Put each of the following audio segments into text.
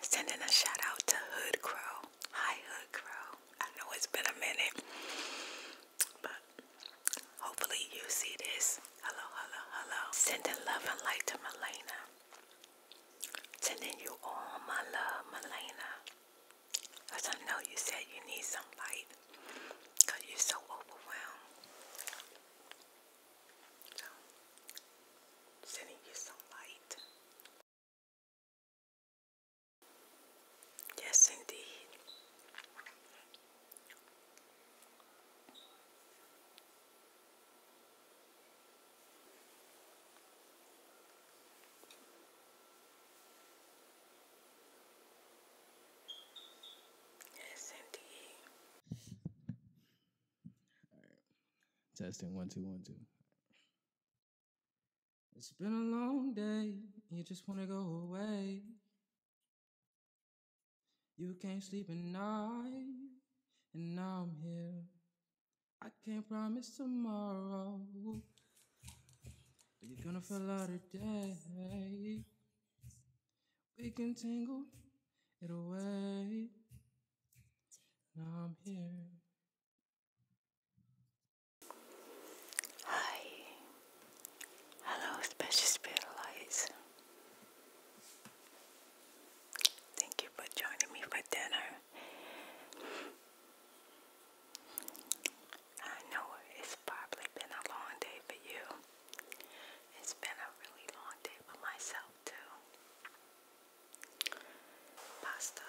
Sending a shout out to Hood Crow. Hi, Hood Crow. I know it's been a minute, but hopefully you see this. Hello, hello, hello. Sending love and light to Melena. Sending you all my love, Melena. Because I know you said you need some light because you're so overwhelmed sending you some light. Yes, indeed. Yes, indeed. Right. Testing one two one two. It's been a long day. You just wanna go away. You can't sleep at night, and now I'm here. I can't promise tomorrow. But you're gonna fill out a day. We can tangle it away. Hi. Hello, special spirit Thank you for joining me for dinner. I know it's probably been a long day for you. It's been a really long day for myself, too pasta.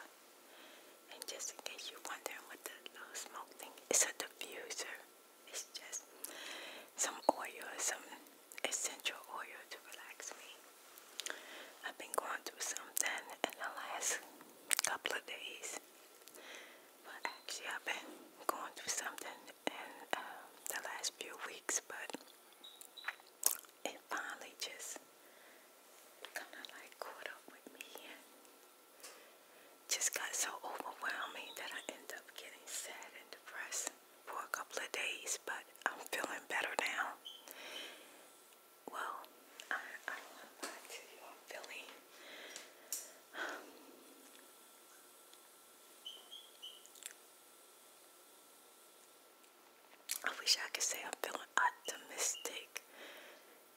And just in case you're wondering what the little smoke thing is, a diffuser. It's just some oil, some essential oil to relax me. I've been going through something in the last couple of days. but actually, I've been going through something in uh, the last few weeks, but it finally just kind of like caught up with me and just got so overwhelming that I ended up getting sad and depressed for a couple of days, but I'm feeling better now. Well, I, I want to lie to you, I'm feeling. I wish I could say I'm feeling optimistic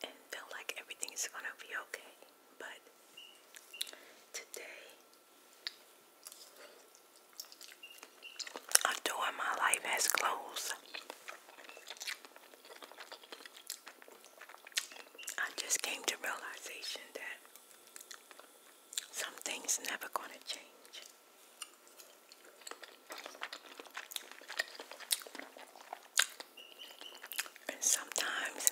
and feel like everything's gonna be okay, but today a door in my life has closed. I just came to realization that some things never gonna change. And sometimes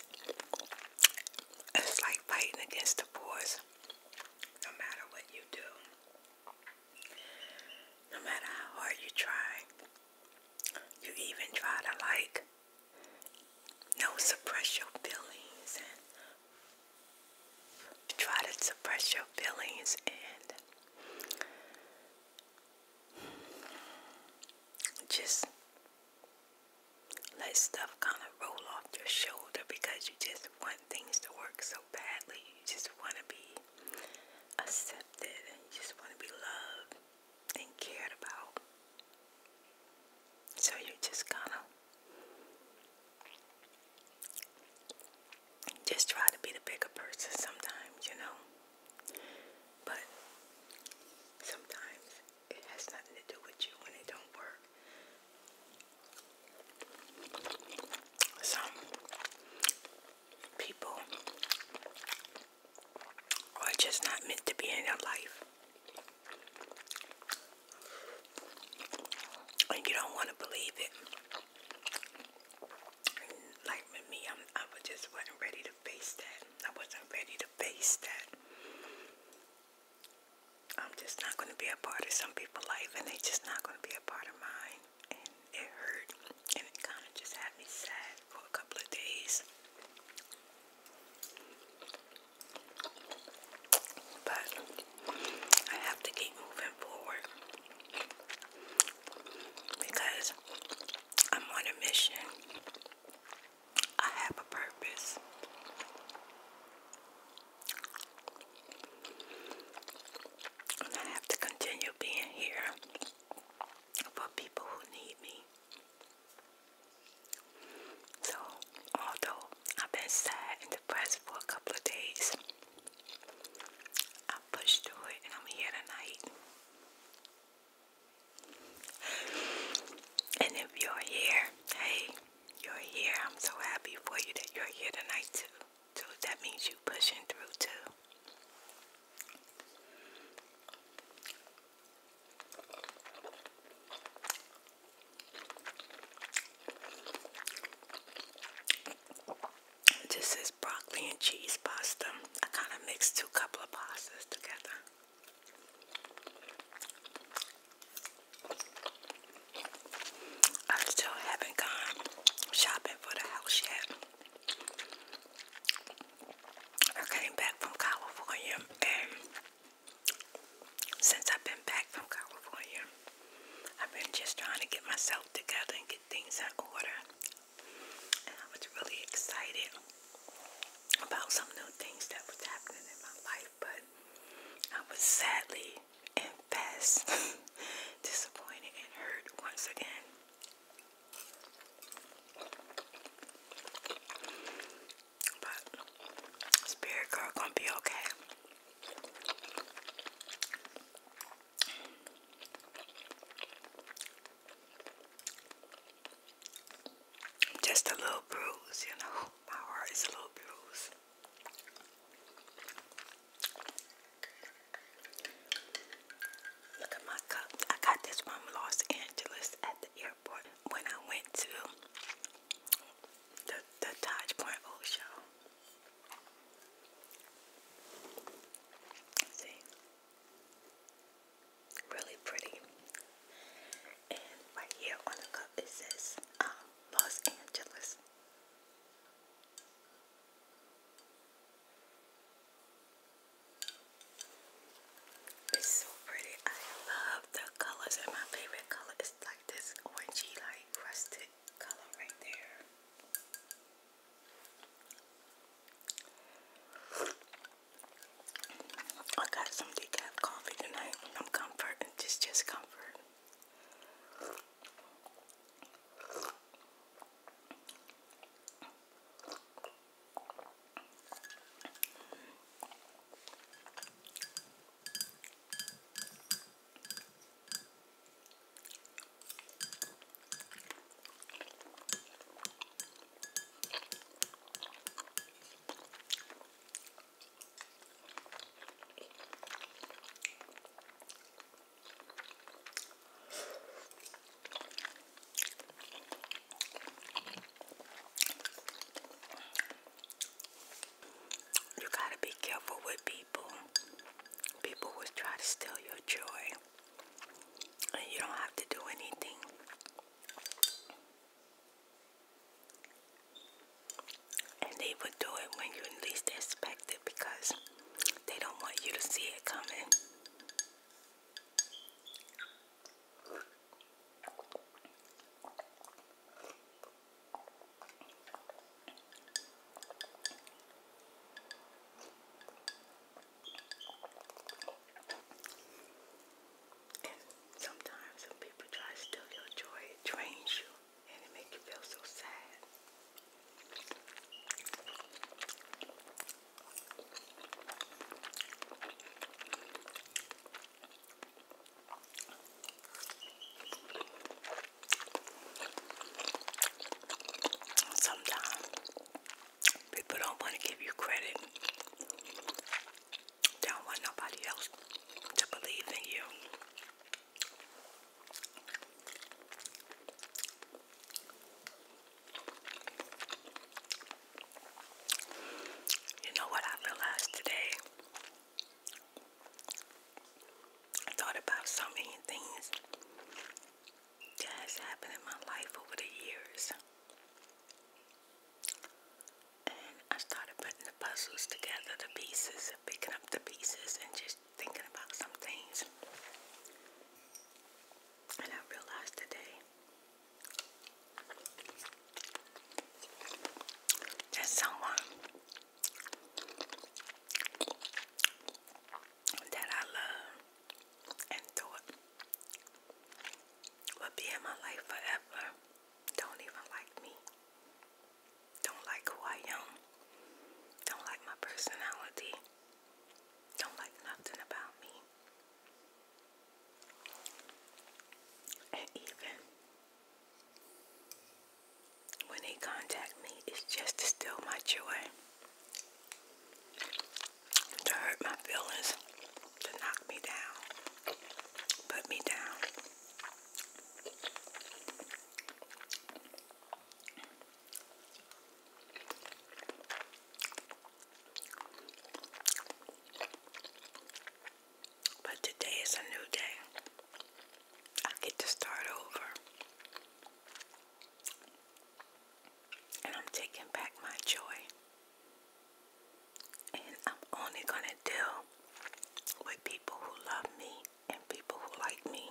it's like fighting against the boys. No matter what you do, no matter how hard you try, you even try to like, no, suppress your feelings try to suppress your feelings and just let stuff kind of roll off your shoulder because you just want things to work so badly. You just want to be accepted you just want to be loved and cared about. So you just kind of just try to be the bigger person sometimes, you know. But sometimes it has nothing to do with you when it don't work. Some people are just not meant to be in your life and you don't want to believe it. Like me, I just wasn't ready to face that. I wasn't ready to face that. I'm just not going to be a part of some people's life, and they're just not going to be a part of mine. And it hurt, and it kind of just had me sad for a couple of days. But I have to keep moving forward because I'm on a mission. I have a purpose. And I have to continue being here for people who need me. So, although I've been sad in for a couple of days. I pushed through it and I'm here tonight. And if you're here, hey, you're here. I'm so happy for you that you're here tonight too. So that means you pushing through too. This is broccoli and cheese pasta. I kind of mixed two couple of pastas together. I still haven't gone shopping for the house yet. I came back from California and since I've been back from California, I've been just trying to get myself together and get things in order. And I was really excited about some new things that was happening in my life, but I was sadly and fast disappointed and hurt once again. But Spirit Girl gonna be okay. Just a little bruise, you know. My heart is a little bruise. Look at my cup. I got this from Los Angeles at the airport when I went to the, the Taj Point Show. Really pretty. And right here on the cup it says um, Los Angeles. It's so pretty. I love the colors and my favorite color is like this orangey like rusted I got some decaf coffee tonight. i comfort just just comfort. You gotta be careful with people people. People will try to steal your joy. And you don't have to do anything. And they would do it when you least expect it because they don't want you to see it coming. And sometimes when people try to steal your joy, it drains you and it makes you feel so sad. Sometimes people don't want to give you credit. They don't want nobody else to believe in you. You know what I realized today? I thought about so many things that has happened in my life over the years. And I started putting the puzzles together, the pieces, picking up the pieces, and just thinking about some things. And I realized today that someone that I love and thought will be in my life forever don't even like me, don't like who I am, don't like my personality, don't like nothing about me. And even when they contact me is just to steal my joy, to hurt my feelings, to knock me down, put me down. But today is a new day. I get to start over. And I'm taking back my joy. And I'm only going to deal with people who love me and people who like me.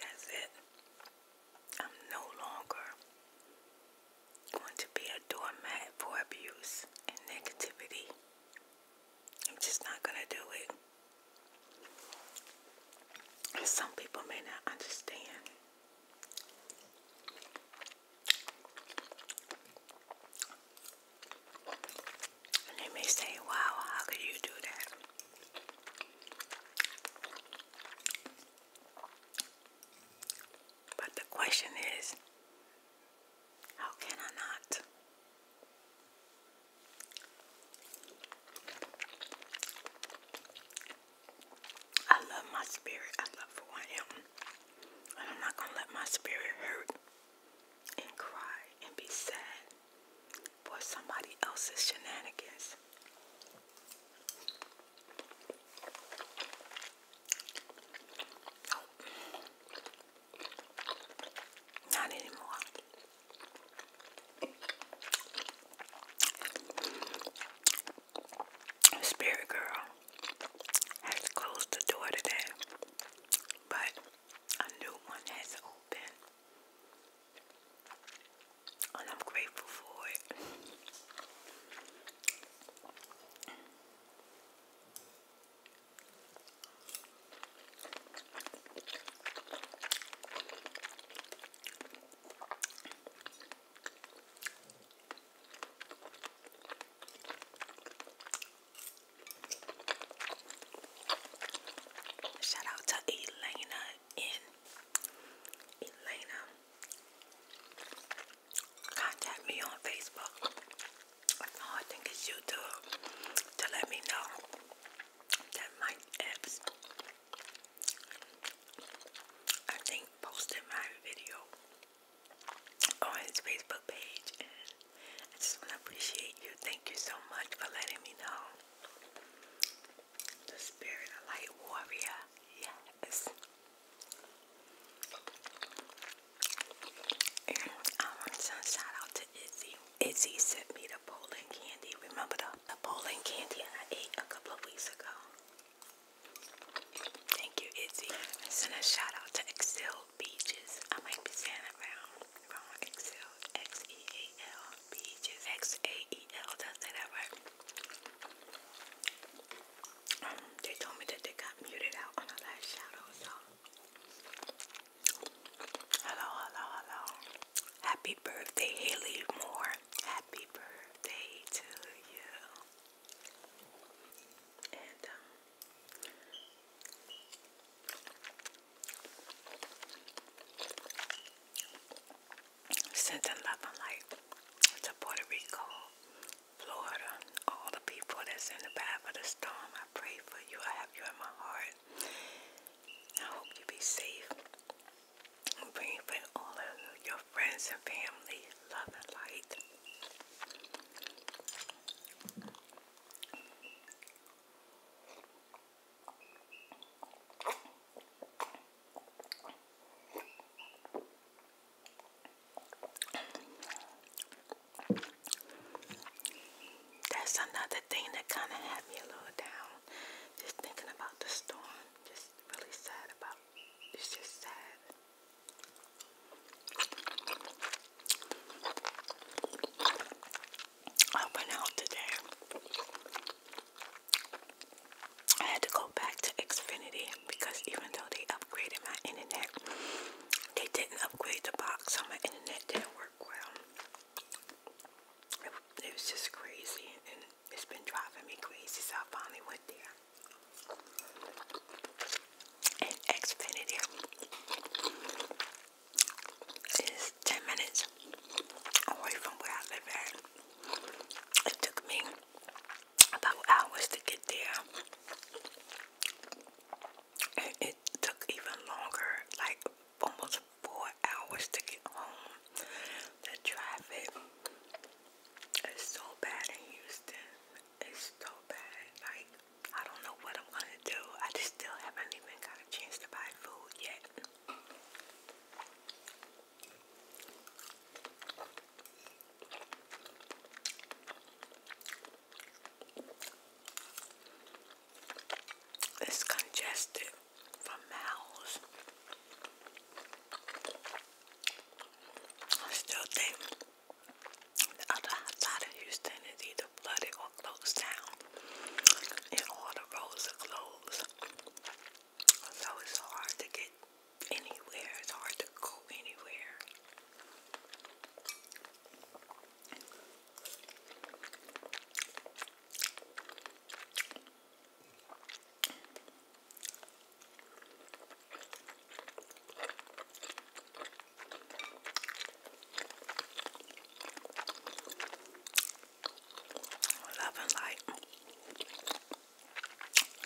That's it. I'm no longer going to be a doormat for abuse and negativity. I'm just not going to do it. And some people may not understand. they may say, wow, how could you do that? But the question is, how can I not? I love my spirit. I love who I am. And I'm not going to let my spirit hurt and cry and be sad for somebody else's shenanigans. Oh. Not anymore. Spirit Girl has closed the door today, but a new one has opened. I'm grateful for it. Shout out to Elena in Elena. Contact me on Facebook. I think it's YouTube to let me know that Mike Epps, I think, posted my video on his Facebook page, I just want to appreciate you. Thank you so much for letting me know. The spirit light warrior, yes. And I want to shout out to Izzy. Itzy sent me the Poland candy. Remember the, the Poland candy I ate a couple of weeks ago? Thank you, Itzy. Send a shout out to Excel Beaches. I might be saying it wrong. Wrong. Excel. X E A L Beaches. X A E L. Did I say that right? Um, they told me that they got muted out on the last shout out, Hello, hello, hello. Happy birthday, Haley Moore. Happy birthday to you. And um, send a love to Puerto Rico, Florida, all the people that's in the path of the storm. I pray for you. I have you in my heart. I hope you be safe. And bring all of your friends and family love and light that's another thing that kind of had me a little down. Just thinking about the storm. Just really sad about it's just sad. I went out today. I had to go back to Xfinity because even though they upgraded my internet, they didn't upgrade the box, so my internet didn't work well it, was just crazy, and it's been driving me crazy. So I finally went there. And Xfinity is 10 minutes away from where I live It took me about hours to get there. And it took even longer, like almost four hours to get home. The traffic is so bad in Houston. It's so bad. Like, I don't know what I'm gonna do. I just still haven't even got a chance to buy food yet. It's congested from Mal's. still think the other side of Houston is either flooded or closed down. And all the roads are closed. So it's hard to get anywhere. It's hard to go anywhere. Love and light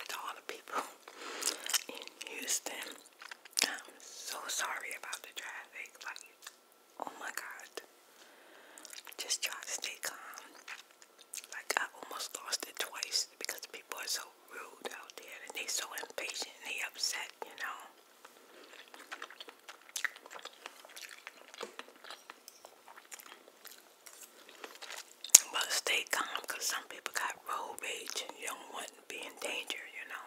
to all the people in Houston. I'm so sorry about the traffic. Oh my god. Just try to stay calm. Like I almost lost it twice because people are so rude out there and they are so impatient and they upset, you know. But stay calm because some people got road rage and you do be in danger, you know.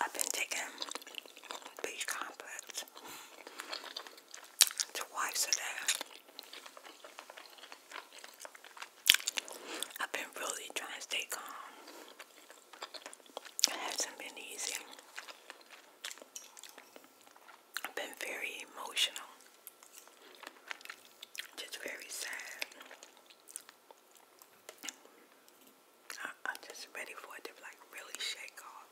I've been taking B complex twice a day. I've been really trying to stay calm. It hasn't been easy. I've been very emotional. Just very sad. I, am just ready for it to like really shake off.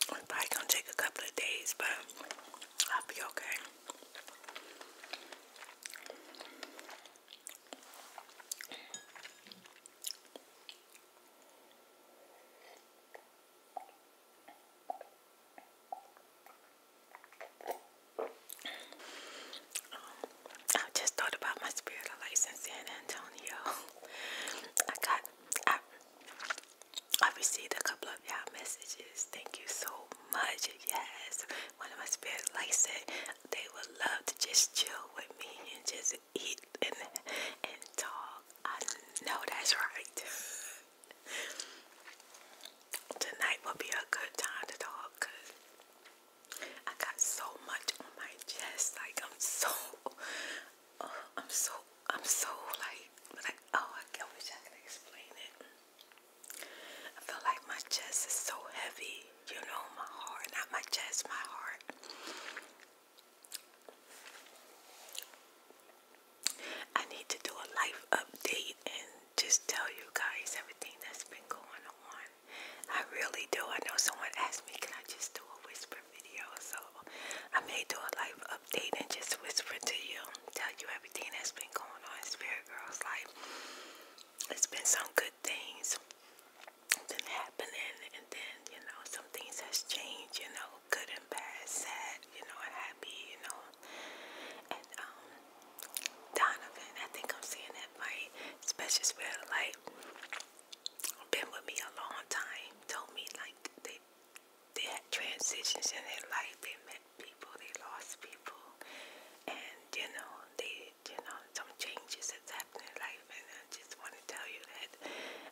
It's probably gonna take a couple of days, but I'll be okay. Um, I just thought about my spirit of in San Antonio. I got, I, I received a couple of y'all messages. Thank you so much. Yes, one of my spirit lights said they would love to just chill with me and just eat and and talk. I know that's right. Tonight will be a good time to talk because I got so much on my chest. Like I'm so, uh, I'm so, I'm so like, like oh, I wish I could explain it. I feel like my chest is so heavy, you know, my heart, not my chest, my heart. I need to do a life update and just tell you guys everything that's been going on. I really do. I know someone asked me, can I just do a whisper video? So I may do a life update and just whisper to you, tell you everything that's been going on in Spirit Girl's life. It's been some good things been happening and then, you know, some things has changed, you know, good and bad, sad, you know, and happy, you know. And um Donovan, I think I'm seeing that right, special spirit like been with me a long time, told me like they they transitions in their life, they met people, they lost people and you know, they you know, some changes that's happened in life and I just wanna tell you that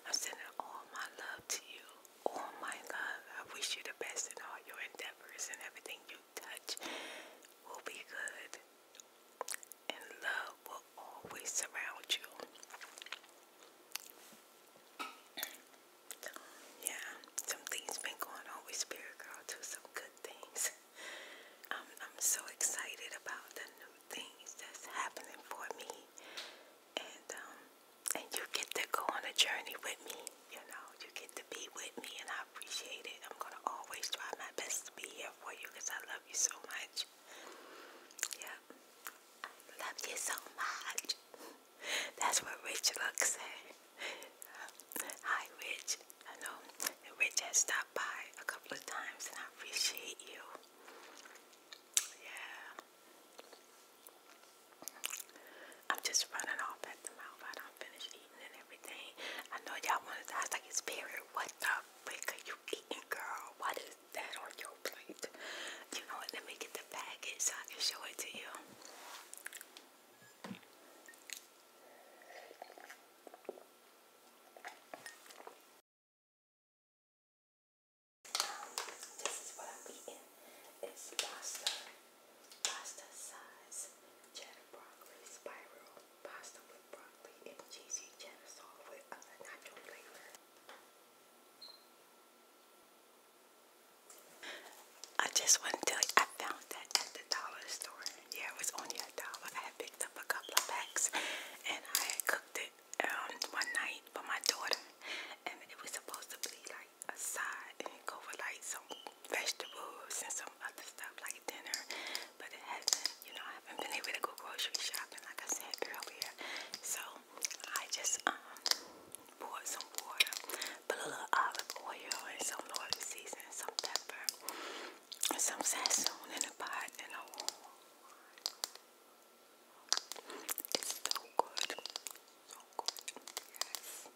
I'm sending all my love to you all oh my love. I wish you the best in all your endeavors and everything you touch will be good. And love will always surround you. yeah, some things been going on with Spirit Girl too, some good things. I'm, I'm so excited about the new things that's happening for me and um and you get to go on a journey with me you know you get to be with me and I appreciate it I'm gonna always try my best to be here for you because I love you so much yeah I love you so much that's what Rich looks at hi Rich I know Rich has stopped by a couple of times and I appreciate you yeah I'm just running off at the mouth. I don't finish eating and everything. I know y'all want to ask like it's period. What the frick are you eating, girl? What is that on your plate? You know what? Let me get the package so I can show it to you. This is what I'm eating. It's pasta. Pasta size, cheddar broccoli, spiral pasta with broccoli and cheesy cheddar sauce with a nacho flavor. I just want to tell you, I found that at the dollar store. Yeah, it was only a dollar. I had picked up a couple of packs and I had cooked it um, one night for my daughter. And it was supposed to be like like a side and go with like some vegetables and some other stuff like dinner. But it hasn't, you know, I haven't been able to go grocery shopping like I said earlier. So I just um poured some water, put a little olive oil and some Lord seasoning, some pepper, and some sassoon in a pot and a it's so good. So good. Yes.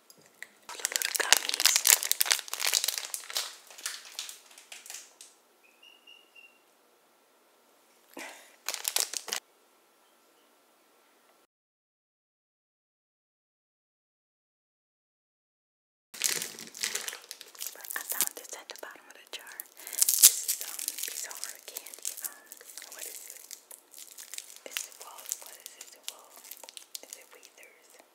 little gummies. I found this at the bottom of the jar. This is um bizarre candy. what is It's the wall. What is it? it Weathers?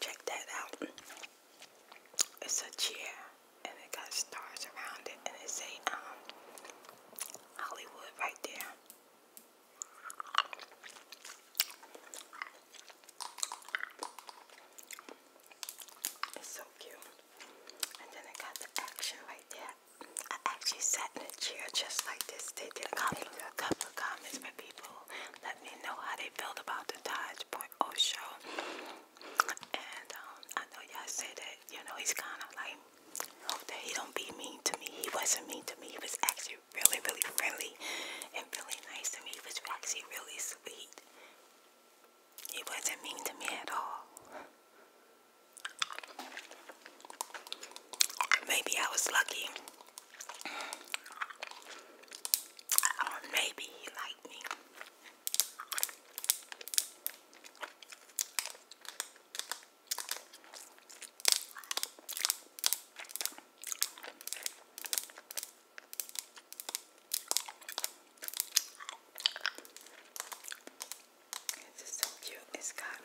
Check that out. It's a chair and it got stars around it and it's a um, Hollywood right there. It's so cute. And then I got the action right there. I actually sat in a chair just like this. They did a couple, of comments by people. Let me know how they felt about the Dodge Point O show. And um, I know y'all say that, you know, he's kind of like, hope that he don't be mean to me. He wasn't mean to me. He was actually really, really friendly and really nice to me. He was actually really sweet. He wasn't mean to me at all. Maybe I was lucky. Or maybe he liked me. It's just so cute. It's got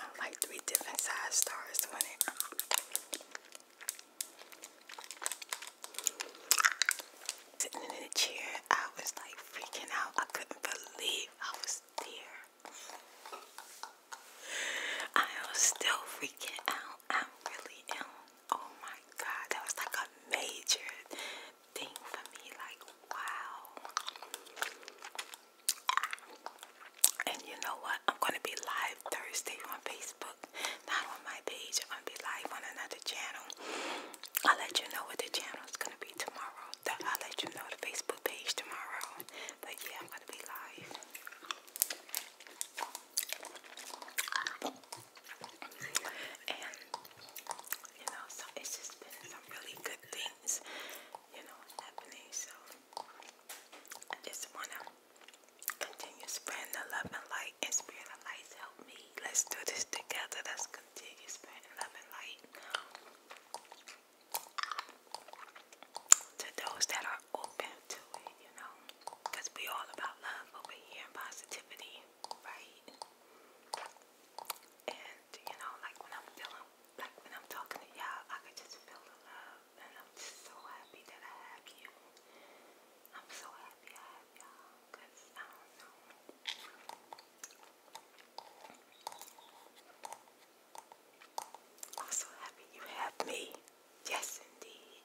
um, like three different size stars on it. Sitting in the chair, I was like freaking out. I couldn't believe I was there. I am still freaking out. I am really am. Oh my god, that was like a major thing for me, like wow. And you know what? I'm gonna be live Thursday on Facebook, not on my page. I'm gonna be live on another channel. I'll let you know what the channel is gonna be tomorrow. I'll let you know the Facebook page tomorrow. But yeah, I'm gonna be live and you know, it's just been some really good things, you know, happening. So I just wanna continue spreading love and light, and spirit lights help me. Let's do this together. Let's continue spreading love and light to those that are open to it, you know, because we all about love over here positivity, right? And you know, like when I'm feeling, like when I'm talking to y'all, I can just feel the love, and I'm so happy that I have you. I'm so happy I have y'all, I'm so happy you have me. Yes, indeed.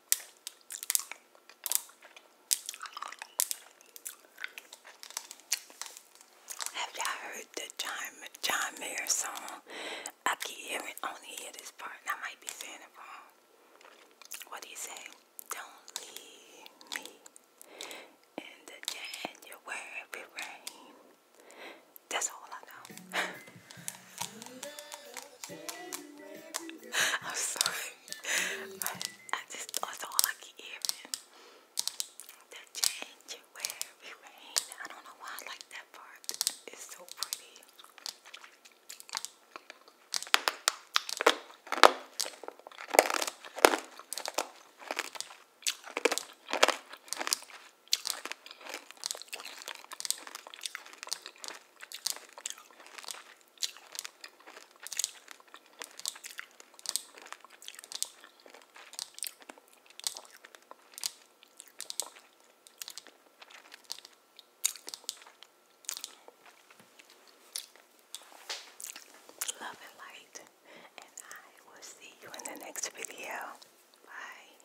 Have y'all heard the John, John Mayer song? I keep hearing only hear this part I might be saying it wrong. What do you say? Don't leave me in the January rain. That's all I know. I'm sorry. I just that's all I keep hearing. The change rain. I don't know why I like that part. It's so pretty. Love and light, and I will see you in the next video. Bye.